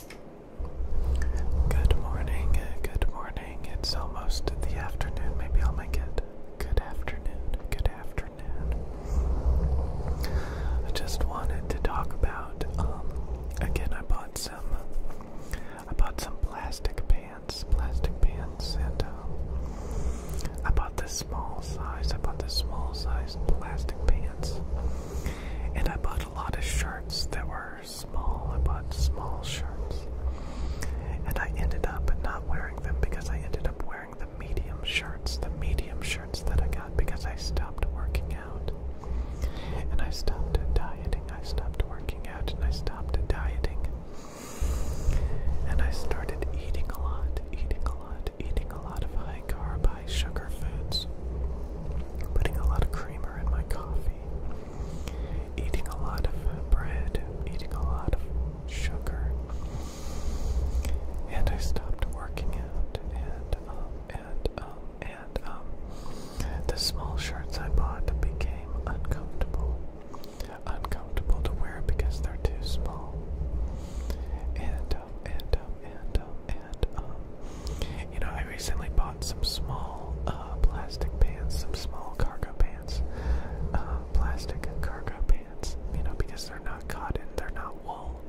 Good morning, good morning. It's almost the afternoon. Maybe I'll make it good afternoon, good afternoon. I just wanted to talk about um again I bought some I bought some plastic pants, plastic pants and um I bought this small size, I bought this small size plastic pants. And I bought a lot of shirts that were small. I bought small shirts. And I ended up not wearing them because I ended up wearing the medium shirts. The medium shirts that I got because I stopped working out. And I stopped dieting. I stopped working out and I stopped dieting. And I started eating a lot, eating a lot, eating a lot of high high-carb, high-sugar foods, putting a lot of creamer in my coffee, eating a lot of bread, eating a lot of sugar, and I stopped working out, and um, and um, and um, the small shirts I bought became uncomfortable, uncomfortable to wear because they're too small, and um, and um, and um, and um, you know, I recently bought some small uh, plastic pants, some small cargo pants, uh, plastic cargo pants. You know, because they're not cotton, they're not wool,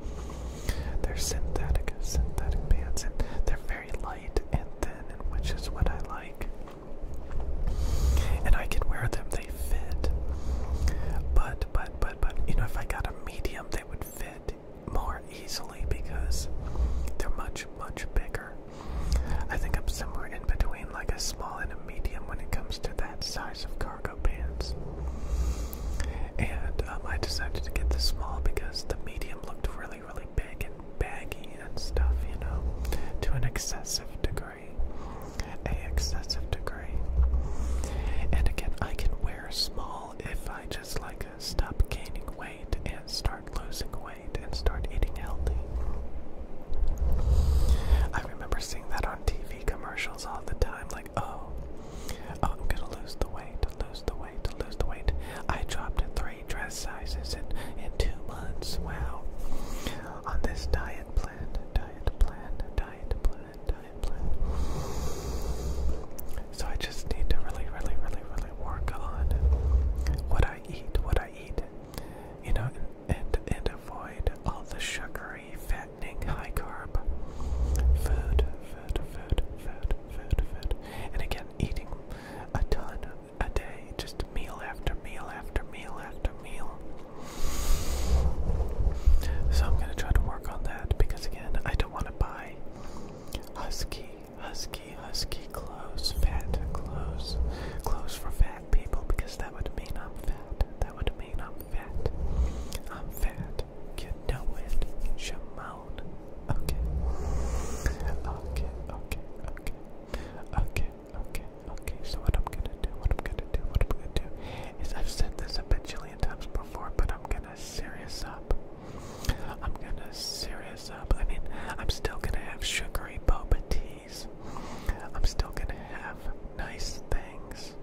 they're synthetic, synthetic pants, and they're very light and thin, and which is what I like. And I can wear them; they fit. But but but but you know, if I got a medium, they would fit more easily because they're much, much bigger. I think I'm somewhere in between like a small and a medium when it comes to that size of cargo pants. And um, I decided to get the small because the medium looked really, really big and baggy and stuff, you know, to an excessive degree. A excessive degree. And again, I can wear small if I just like stop gaining weight and start losing weight and start eating healthy. I remember seeing that on TV commercials all the time like, oh, oh I'm going to lose the weight, lose the weight, lose the weight. I dropped three dress sizes in, in two months. Wow. On this diet plan, diet plan, diet plan, diet so I just need to really, really, really, really work on what I eat, what I eat, you know, and and, and avoid all the sugary, fattening, high carb food, food, food, food, food, food, and again, eating a ton a day, just meal after meal after meal after meal. So I'm gonna try to work on that because again, I don't want to buy Husky, husky, husky, close, fat, close, close for fat people because that would mean I'm fat. That would mean I'm fat. I'm fat. You know it, Shimon. Okay. Okay, okay, okay. Okay, okay, okay. So what I'm gonna do, what I'm gonna do, what I'm gonna do is I've said this a bajillion times before, but I'm gonna serious up. I'm gonna serious up. I mean, I'm still gonna have sugary boba teas. I'm still gonna have nice things.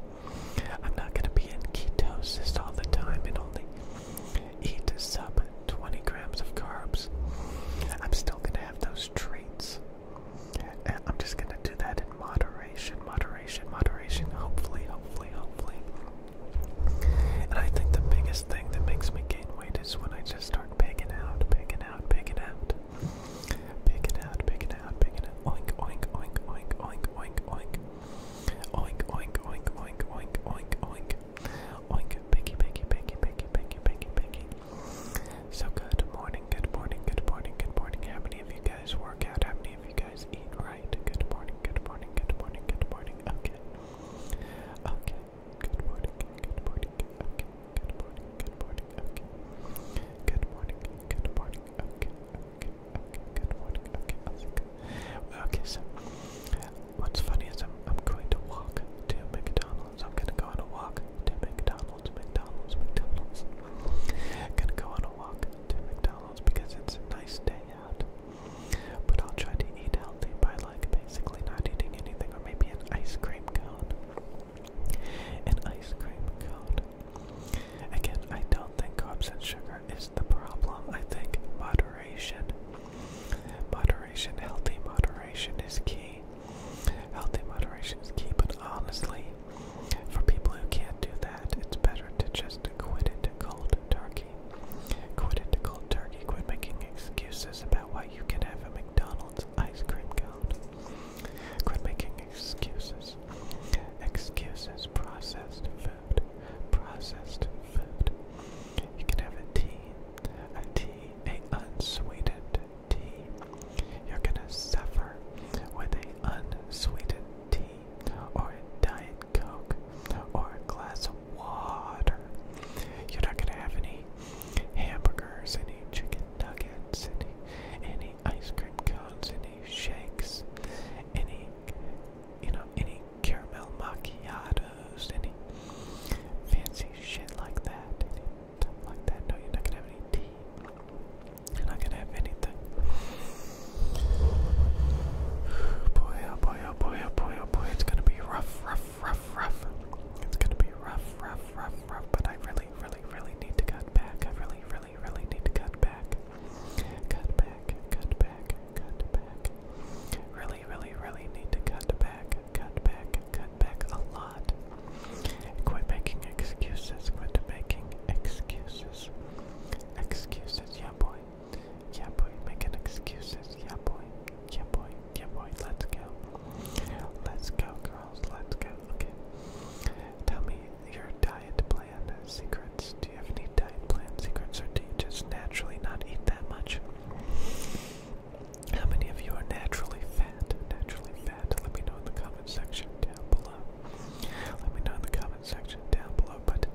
I'm not gonna be in ketosis all the time and only eat up 20 grams of carbs. I'm still gonna have those treats. I'm just gonna do that in moderation, moderation, moderation. Hopefully, hopefully, hopefully. And I think the biggest thing that makes me gain weight is when I just start pigging out, pigging out, pigging out. Pigging out, pigging out, pigging out. Oink, oink, oink, oink, oink, oink, oink. Oink, oink, oink, oink, oink, oink, oink. Oink, piggy, piggy, piggy, piggy, piggy, piggy, piggy. So good morning, good morning, good morning, good morning. How many of you guys work out? How many of you guys eat right. Good morning, good morning, good morning, good morning. Okay. Okay. Good morning, good morning, okay. Good morning, good morning, okay. Good morning, good morning, okay. Okay, okay, good morning, okay. I Okay, so what's funny is I'm, I'm going to walk to McDonald's. I'm gonna go on a walk to McDonald's, McDonald's, McDonald's. I'm gonna go on a walk to McDonald's because it's a nice day out. But I'll try to eat healthy by like basically not eating anything, or maybe an ice cream cone. An ice cream cone. Again, I don't think carbs and sugar is the problem. I think moderation, moderation, healthy moderation is key. Healthy moderation is key, but honestly, for people who can't do that, it's better to just quit it cold turkey. Quit it cold turkey. Quit making excuses about why you can have a McDonald's ice cream cone. Quit making excuses. Excuses. Processed food. Processed food. You can have a tea. A tea. A unsweetened tea. You're gonna suffer with a unsweetened tea or a Diet Coke or a glass of water. You're not gonna have any hamburgers, any chicken nuggets, any any ice cream cones, any shakes, any you know, any caramel macchiatos, any fancy shit like that, like that. No, you're not gonna have any tea. You're not gonna have anything. Boy, oh boy, oh boy, oh boy, oh boy, it's gonna be rough, rough, rough, rough. It's gonna be rough, rough, rough, rough, but I really, really, really need to cut back. I really, really, really need to cut back. Cut back, cut back, cut back. Really, really, really need to cut back, cut back, cut back a lot. Quit making excuses, quit making excuses. Excuses, yeah boy, yeah, boy, making excuses. Yeah, boy. Yeah, boy. Yeah, boy. Let's go. Let's go, girls. Let's go. Okay. Tell me your diet plan secrets. Do you have any diet plan secrets, or do you just naturally not eat that much? How many of you are naturally fat? Naturally fat? Let me know in the comment section down below. Let me know in the comment section down below, but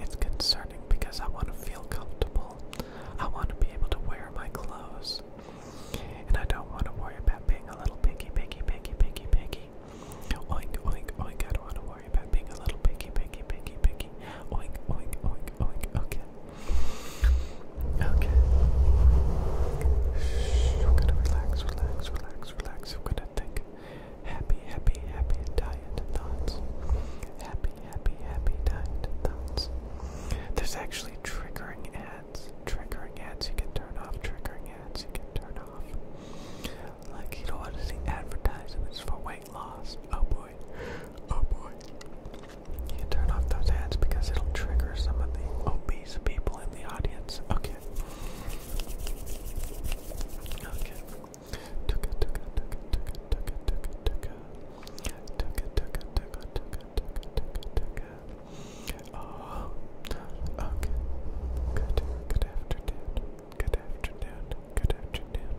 it's concerning because I want to feel comfortable. I want to be able to wear my clothes. And I don't want to worry about being a little piggy, piggy, piggy, piggy, piggy. Oink, oink, oink. I don't want to worry about being a little piggy, piggy, piggy, piggy. Oink, oink, oink, oink. Okay. Okay. Shh, I'm gonna relax, relax, relax, relax. I'm gonna think. Happy, happy, happy diet thoughts. Happy, happy, happy diet thoughts. There's actually triggering ads. Triggering ads you can turn off. Triggering ads you can turn off. Like you don't want to see advertisements for weight loss. Oh boy. Oh boy. You can turn off those ads because it'll trigger some of the obese people in the audience. Okay. Okay. Okay. Tuka tuka tuka tuka tuka tuka tuka. Tuka tuka tuka tuka tuka tuka tuka. Oh. Okay. Good. Good afternoon. Good afternoon. Good afternoon.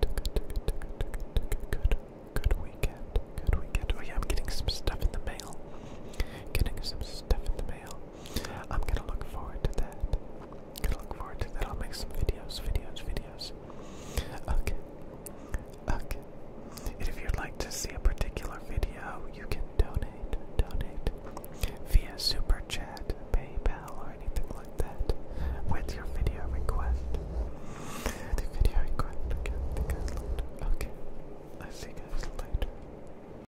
Tuka tuka tuka tuka tuka. Good. Good weekend. Good weekend. Oh yeah, I'm getting some stuff in the mail. Getting some stuff in the mail. I'm gonna look forward to that. Gonna look forward to that. I'll make some videos, videos, videos. Okay. Okay. And if you'd like to see a particular video, you can donate, donate via super chat, PayPal, or anything like that with your video request. The video request. Okay. The Okay.